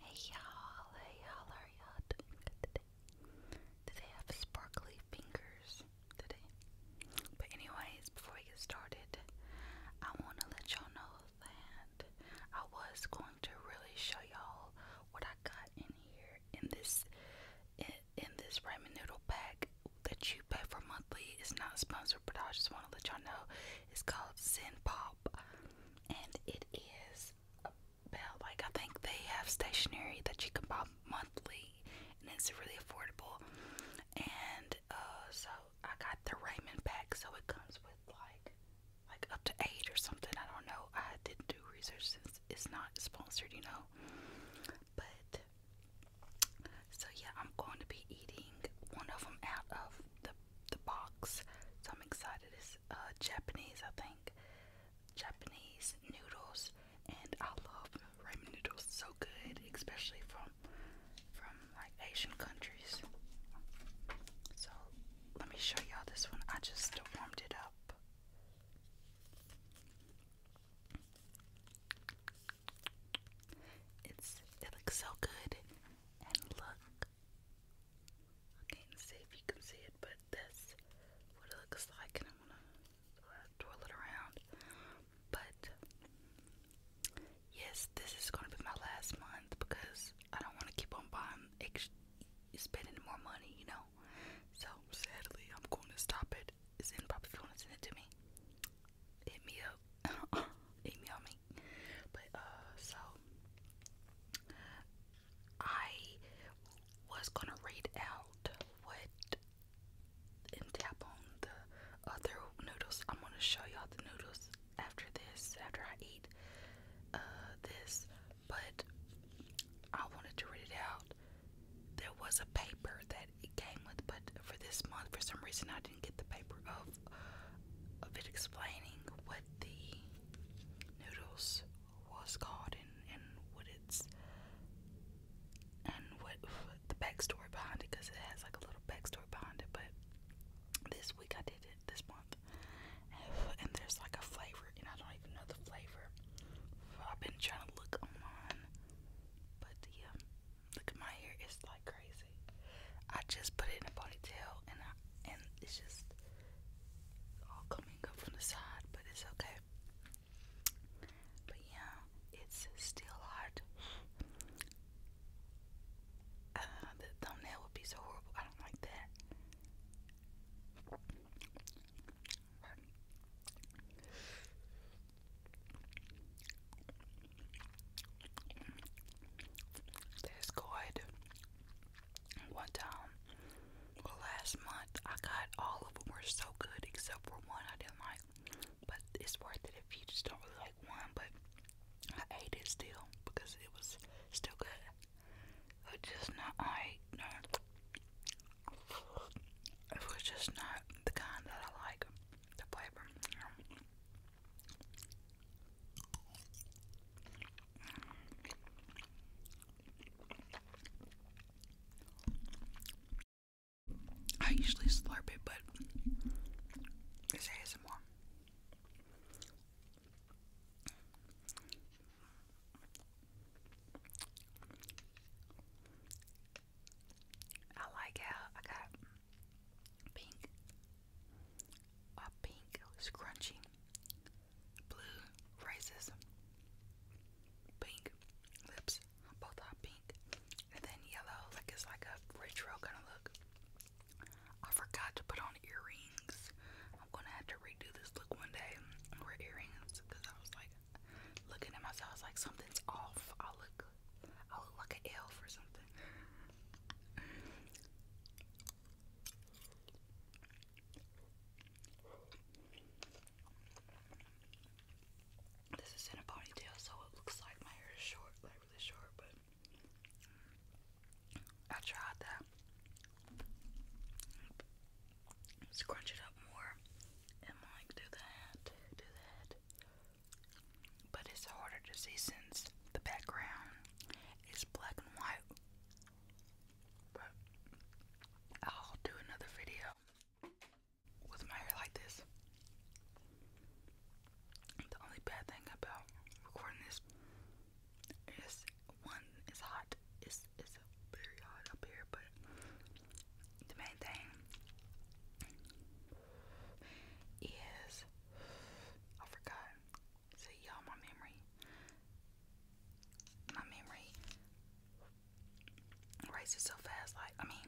Hey y'all, hey y'all, are y'all doing today? Did they have sparkly fingers today? But anyways, before we get started, I want to let y'all know that I was going to really show y'all what I got in here in this in, this ramen noodle pack that you pay for monthly. It's not sponsored, but I just want to let y'all know it's called Sin Pop and it is about like I think they have stationery that you can buy monthly, and it's really affordable. And uh, so I got the Raymond pack, so it comes with like like up to eight or something. I don't know. I didn't do research since it's not sponsored, you know. But so yeah, I'm going to be eating one of them out of the the box. So I'm excited. It's uh, Japanese, I think. Japanese noodles, and I love ramen noodles so good, especially from from like Asian countries. So let me show y'all this one. I just warmed it up. It's it looks so good, and look, I can't see if you can see it, but that's what it looks like, and I'm gonna twirl it around. But yes, this is gonna be my last month because I don't want to keep on buying, spending more money, you know. So sadly, I'm going to stop it. Is anybody want to send it to me? Hit me up. email me. But uh, so I was gonna read out what and tap on the other noodles. I'm gonna show y'all the noodles after this, after I eat uh this, but I wanted to read it out. There was a paper that it came with, but for this month, for some reason, I get the paper of of it explaining what the noodles was called and, and what it's and what, the backstory behind it because it has like a little backstory behind it but this week I did it this month and there's like a flavor and I don't even know the flavor I've been trying to look online but yeah look at my hair it's like crazy I just put it in a ponytail and it's just all coming up from the side, but it's okay. But yeah, it's still hard. Uh, the thumbnail would be so horrible. I don't like that. That's good. One time, last month, I got all of them were so good except for one I didn't like. But it's worth it if you just don't like one. But I ate it still because it was still good. It just not, I, It was just not the kind that I like, the flavor. I usually slurp it, but it's ASMR. I like how I got pink, a pink scrunchie, blue roses, pink lips, both are pink, and then yellow, like it's like a retro kind of look. I forgot to put on earrings. I'm gonna have to redo this look one day wear earrings because I was like looking at myself, like something's off. I look I look like an elf or something. This is in a ponytail, so it looks like my hair is short, like really short, but I tried that. Scrunch it up more and like do that, do that but it's harder to see since the background is black and white. But I'll do another video with my hair like this. The only bad thing about recording this is one is hot. It's it's very hot up here, but the main thing is I forgot. See, y'all, my memory. My memory races so fast. Like, I mean,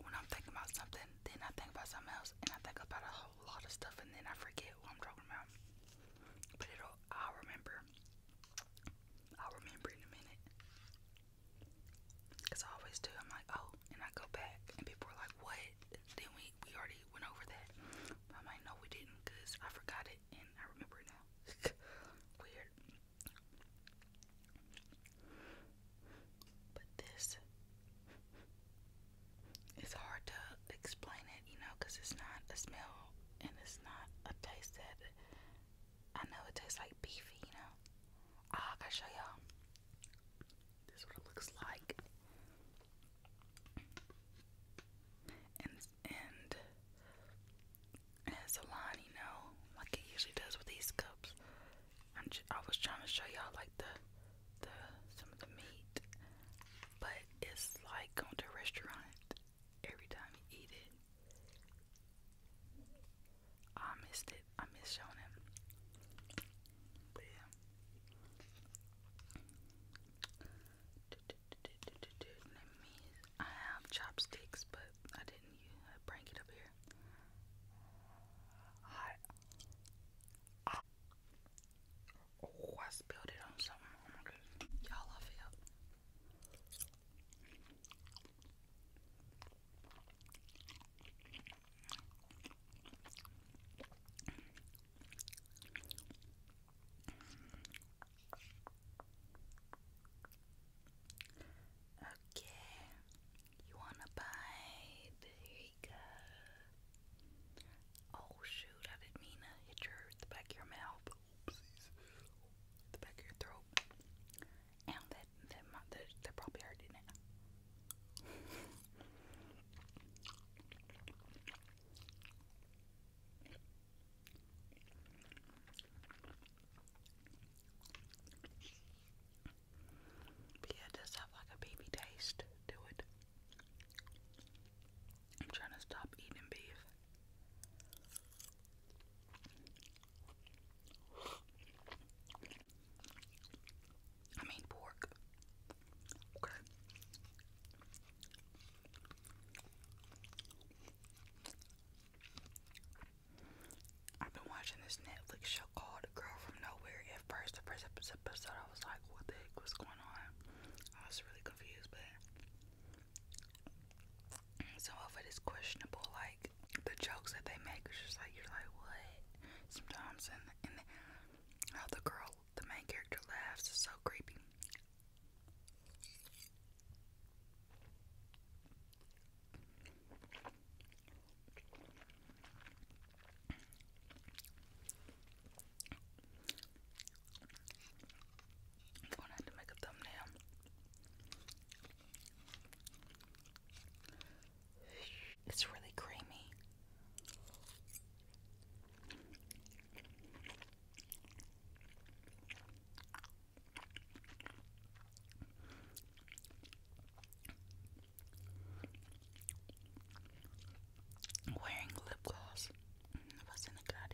when I'm thinking about something, then I think about something else, and I think about a whole lot of stuff, and then I forget what I'm talking about. But it'll, I'll remember. I'll remember in a minute. Because I always do. I'm like, oh, and I go back and people are like, what? Then we, we already went over that. i might know we didn't because I forgot it and I remember it now. Weird. But this, it's hard to explain it, you know, because it's not a smell and it's not a taste that I know it tastes like beefy, you know. Oh, gotta show y'all. This what it looks like. And and it's a line, you know, like it usually does with these cups. I'm j i was trying to show y'all like the the some of the meat, but it's like going to restaurant every time you eat it. I missed it. I miss Shonen. But yeah. I have chopsticks, but I didn't uh, bring it up here. Oh, I, spilled it on something. Oh Y'all, I feel. Okay, you want to bite? Here you go. Oh shoot, I didn't mean to hit your the back of your mouth. Oopsies. The back of your throat and that that my, that, that probably already now. yeah, does have like a baby taste to it. I'm trying to stop eating beef. I mean pork. Okay. I've been watching this Netflix show called Girl From Nowhere. At first, the first episode, I was like, what the heck was going on? I was really confused, but some of it is questionable, like the jokes that they make is just like you're like what sometimes and and how the girl the main character laughs is so creepy. I'm gonna have to make a thumbnail. It's really creamy. Wearing lip gloss was mm, in the Claudia.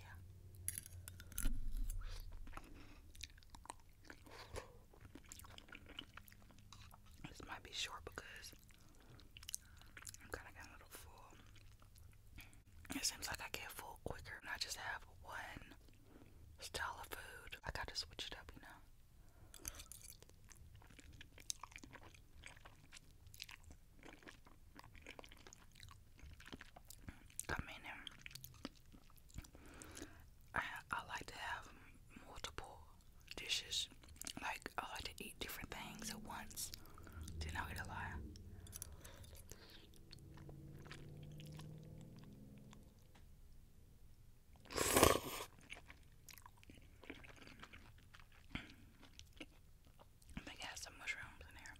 This might be short because I'm kind of getting a little full. It seems like I get full quicker and I just have one style of food. I gotta switch it up, you know. I mean, I, I like to have multiple dishes. Like I like to eat different things at once. Then I'll a lot. I think it has some mushrooms in here.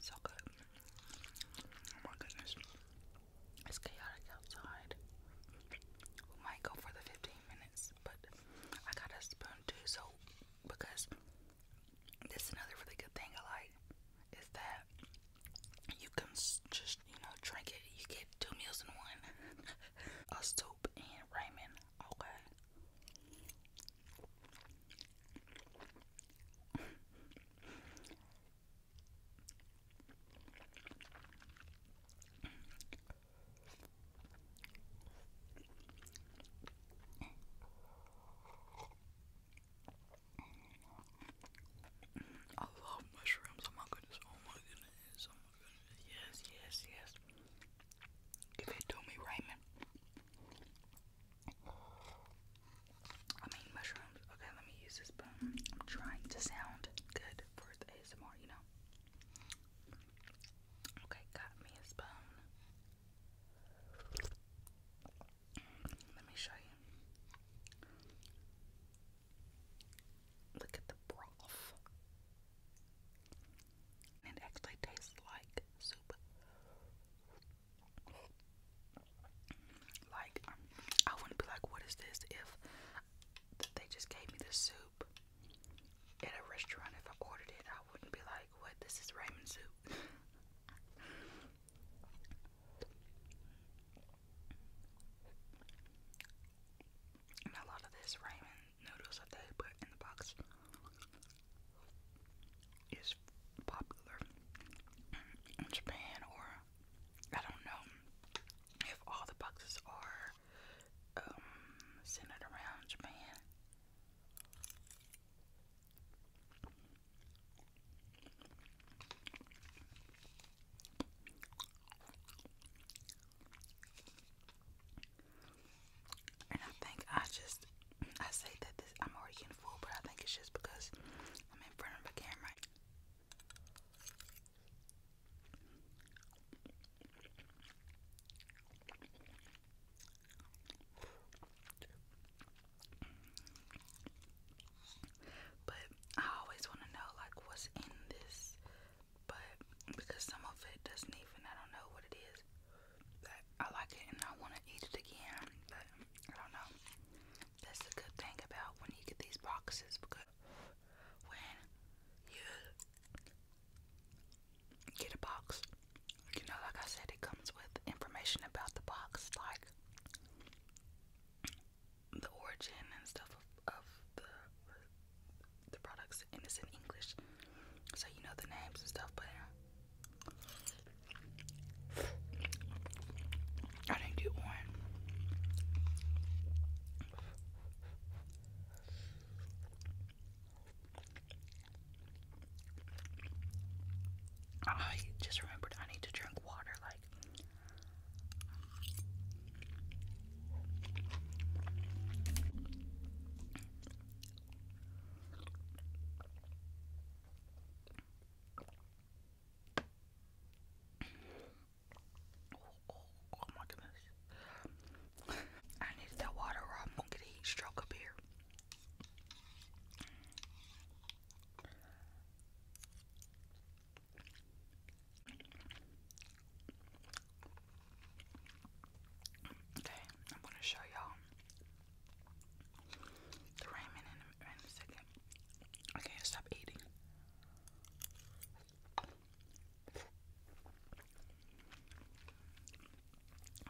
So good. Oh my goodness. It's chaotic outside. We might go for the 15 minutes, but I got a spoon too, so because this another really good thing I like is that you can just, you know, drink it. You get two meals in one. a soup and ramen. Okay. I love mushrooms. Oh my goodness. Oh my goodness. Oh my goodness. Yes, yes, yes. Give it to me, Raymond. I mean mushrooms. Okay, let me use this spoon. I'm trying to sound good for the ASMR, you know. Okay, got me a spoon. Let me show you. Look at the broth. It actually tastes like soup. Like, I wouldn't be like, what is this if they just gave me the soup at a restaurant? If I ordered it, I wouldn't be like, what, this is ramen soup. and a lot of this ramen noodles that they put in the box is popular in Japan or I don't know if all the boxes are um, centered around Japan. And I think I just I say that I'm already getting full, but I think it's just because I'm in front of a camera. But I always want to know like what's in this, but because some of it doesn't even I don't know what it is. But I like it and I want to eat it again, but I don't know. That's the good thing about when you get these boxes because when you get a box, you know, like I said, it comes with information about the box, like the origin and stuff of, the the products, and it's in English, so you know the names and stuff. But I didn't get one. Oh, I just remembered I need to drink water like Oh, my goodness. I need that water or I'm gonna get a heat stroke up here. Okay, I'm gonna show y'all the ramen in a, second. Okay, stop eating.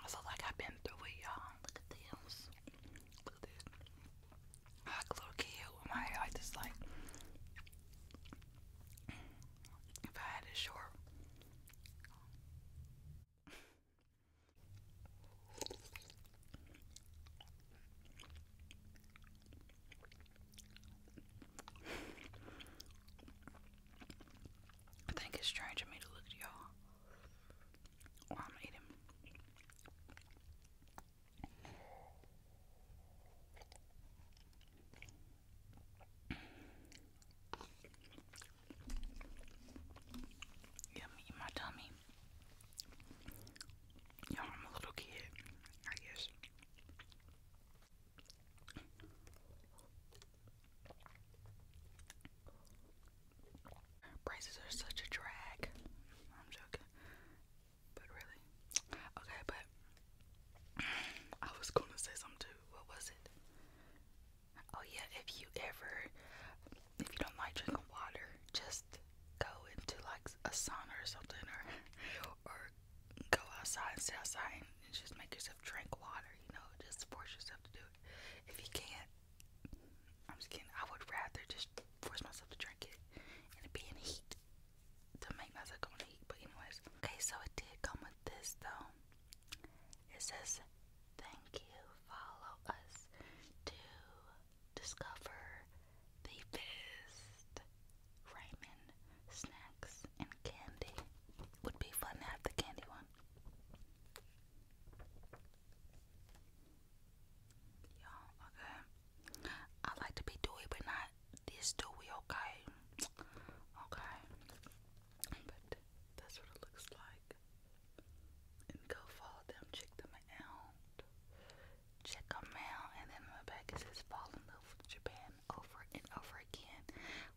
Also, like I've been through it, y'all. Look at this. Look at this. Like a little kid my I just like. If I had it short. I think it's strange of me to look at y'all I'm eating. Yummy in my tummy. Yeah, I'm a little kid, I guess. Prices are such a drag. I'm joking. But really. Okay, but I was gonna say something too. What was it? Oh yeah, if you ever if you don't like drinking water, just go into like a sauna or something, or or go outside and sit outside and just make yourself drink water. You know, just force yourself to do it. If you can't, I'm just kidding. I would rather just force myself to drink it and it be in heat to make myself go in heat. But anyways, okay. So it did come with this though. It says, "Thank you. Follow us to discover the best ramen snacks and candy. Would be fun to have the candy one. you okay. I like to be dewy, but not this dewy, okay? Okay. But that's what it looks like and go follow them, check them out, check them out, and then in the back fall in love with Japan over and over again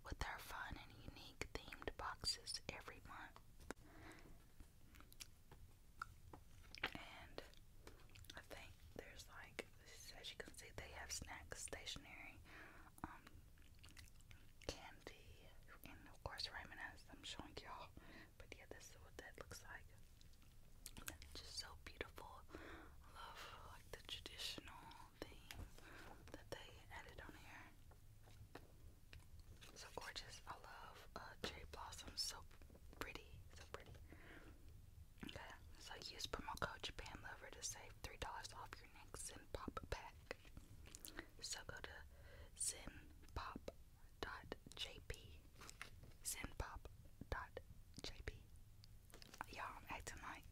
with our fun and unique themed boxes every month. And I think there's like, as you can see, they have snacks, stationery, um, candy, and of course Raymond as I'm showing y'all but yeah, this is what that looks like. just so beautiful. love like the traditional theme that they added on here. So gorgeous. I love uh, cherry blossoms. So pretty. So pretty. Okay. So use promo code Japan to save three dollars off your next Zen pack. So go to Zen Pop Zenpop.jp. Zenpop.jp. Y'all, I'm acting like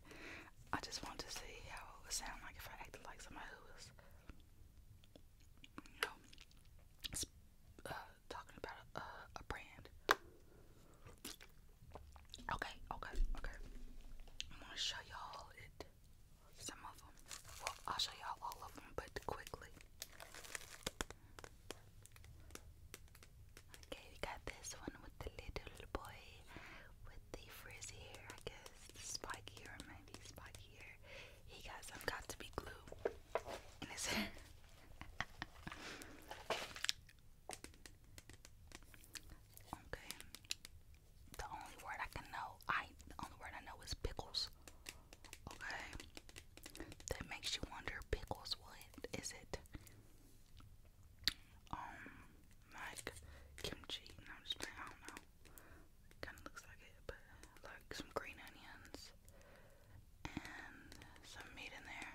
I just want to see how it would sound like if I acted like somebody who was, you know, uh, talking about a brand. Okay, okay, okay. I'm gonna show y'all it some of them. Well, I'll show y'all all of them, but quickly. Okay, we got this one with the little boy with the frizzy hair, I guess. Spiky hair, maybe spiky He got some got to be glue in his hair. Okay the only word I can know, I the only word I know is pickles. Okay, that makes you wonder pickles. What is it? Um, like kimchi? i don't know. Kind of looks like it, like some green onions and some meat in there.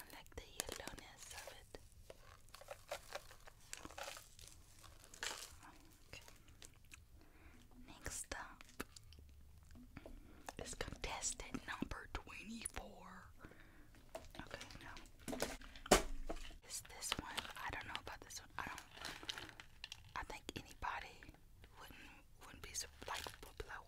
And like the yellowness of it. Next up is contestant number 24. Okay, no. It's this one. I don't know about this one. I don't I think anybody wouldn't wouldn't be so like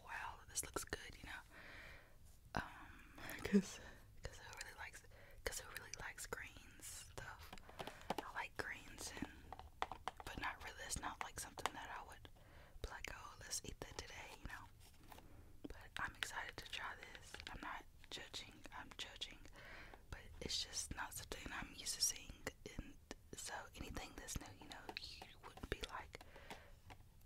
wow, this looks good, you know. Um, because Cause who really likes cause who really likes greens stuff? I like greens and but not really it's not like something that I would like, oh let's eat that today, you know. But I'm excited to try this. I'm not judging, I'm judging. But it's just not something I'm used to seeing and so anything that's new, you know, you wouldn't be like,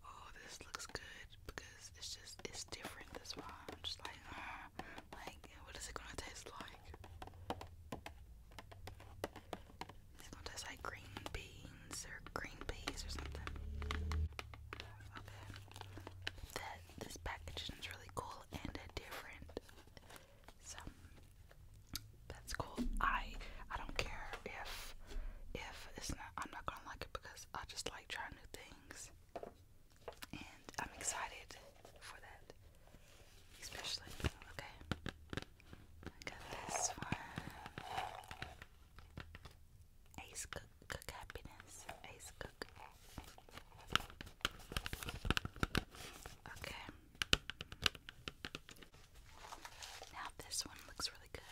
Oh, this looks good because it's just it's different, that's why I'm just like ah. Like, what is it gonna taste like? It's gonna taste like green beans or green peas or something. That this packaging is really cool and different. So that's cool. I I don't care if if it's not. I'm not gonna like it because I just like trying new things and I'm excited for that, especially. Okay, I got this one. Ace Cook, Cook Happiness, Ace Cook. Okay. Now this one looks really good.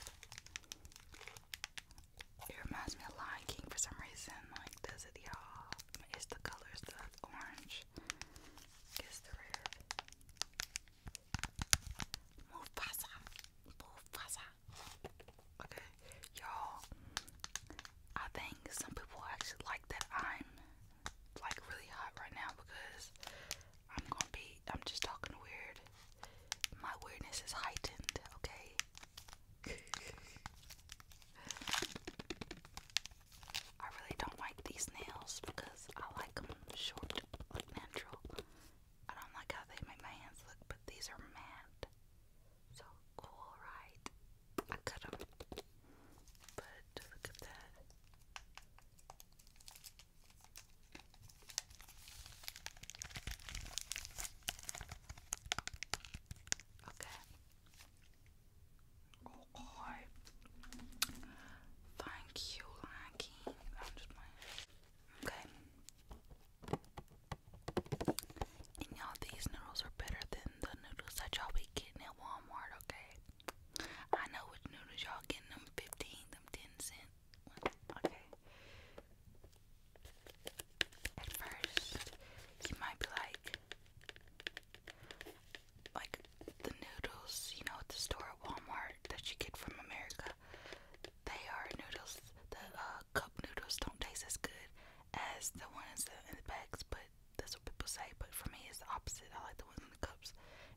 It reminds me of Lion King for some reason. Like, does it, y'all? It's the colors, the orange. Guess the red. Mufasa. Mufasa. Okay, y'all. I think some people actually like that I'm like really hot right now because I'm gonna be. I'm just talking weird. My weirdness is heightened. Okay. I really don't like these nails because I like them short, like natural. I don't like how they make my hands look, but these are matte. So cool, right? I cut them. But look at that. Okay. Oh, oh. Thank you, Lucky. Okay. And y'all, these noodles are better than the noodles that y'all be getting at Walmart, okay? I know which noodles y'all getting them 15, them 10 cent. Okay. At first, you might be like, like the noodles, you know, the store at Walmart that you get from America. They are noodles. The uh, cup noodles don't taste as good as the ones in the bags, but that's what people say. But for me, it's the opposite. I like the ones in the cups,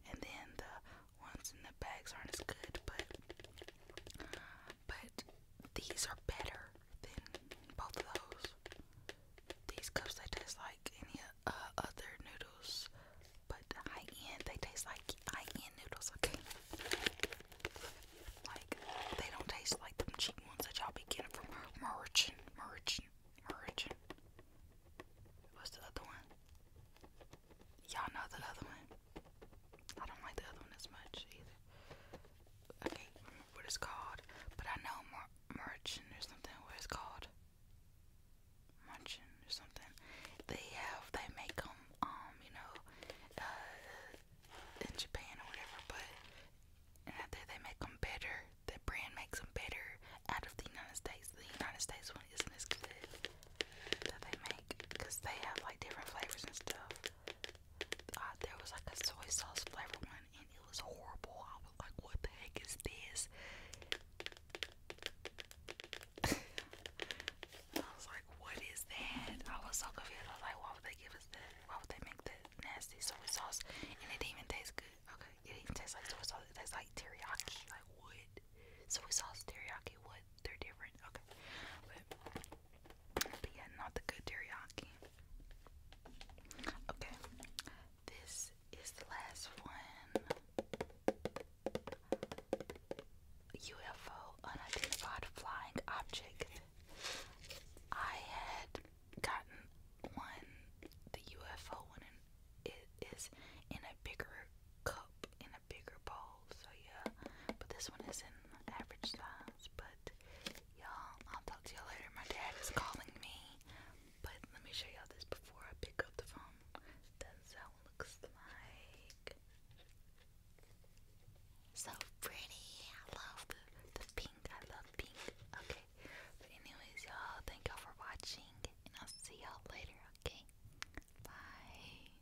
and then the ones in the bags aren't as good. But but these are better. Then both of those. These cups they taste like any uh, other noodles, but high end. They taste like high end noodles. Okay, like they don't taste like them cheap ones that y'all be getting from Merchant, Merchant, Merchant. What's the other one? Y'all know the other one. I don't like the other one as much either. I can't remember what it's called, but I know Mer Merchant or something. What it's called? Merchant or something. They have they make them um you know uh in Japan or whatever, but and I think they make them better. The brand makes them better out of the United States. The United States one isn't as good that they make because they have like different flavors and stuff uh, there was like a soy sauce flavor one and it was horrible. I was like, what the heck is this? I was like, what is that? I was so confused. I was like, why would they give us that? Why would they make that nasty soy sauce? And it didn't even taste good. Okay, it didn't even taste like soy sauce. It tastes like teriyaki. Like, what? Soy sauce, teriyaki, what? They're different. Okay. But but yeah, not the good teriyaki. Okay, this is the last one. UFO unidentified flying object. I had gotten one, the UFO one, it is in a bigger cup, in bigger bowl, so yeah. But this one is in average size. But y'all, I'll talk to y'all later. My dad is calling me. But let me show y'all this before I pick up the phone. That's how it looks like. So pretty. I love the, the pink. I love pink. Okay. But anyways, y'all, thank y'all for watching. And I'll see y'all later, okay? Bye.